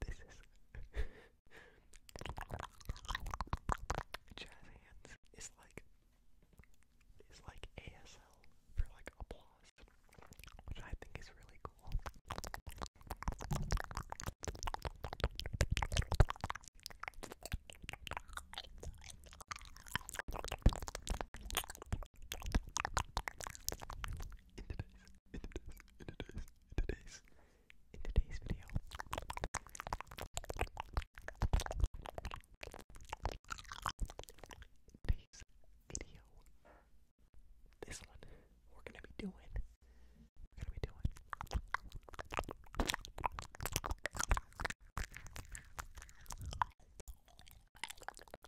This is hands is like is like ASL for like applause, which I think is really cool in today's, in today's, in today's, in today's video. In today's video. This one we're gonna be doing. We're gonna be doing.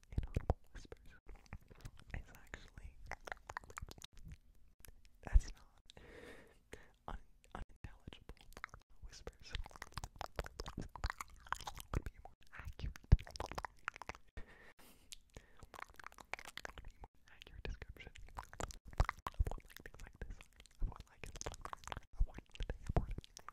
inaudible whispers is actually that's not un unintelligible whispers would be more accurate. Be more accurate description of what like things like this, of what like of what like the airport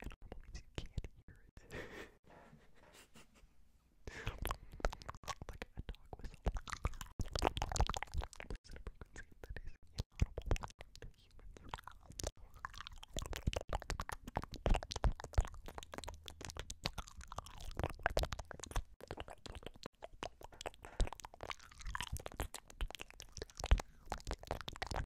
It normal means you can't hear it. like a dog whistle. It's a frequency that is inaudible to humans.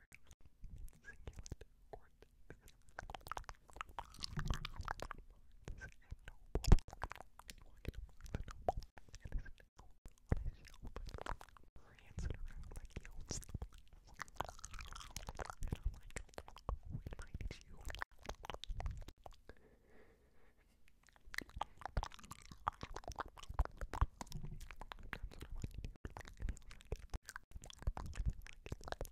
Succulent cortex. Parts and noble. Walking among the noble. And this nickel on his shelf. Prancing around like he owns the And I'm like, who invited you? That's what I want you to do. And he was like, and he was like,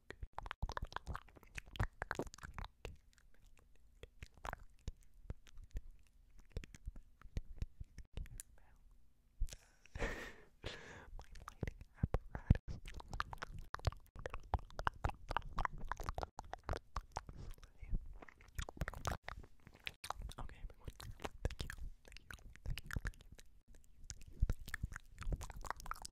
My lighting apparatus Okay, everyone. Thank you. Thank you. Thank you. Thank you. Thank you. Thank you. Thank you. Thank you.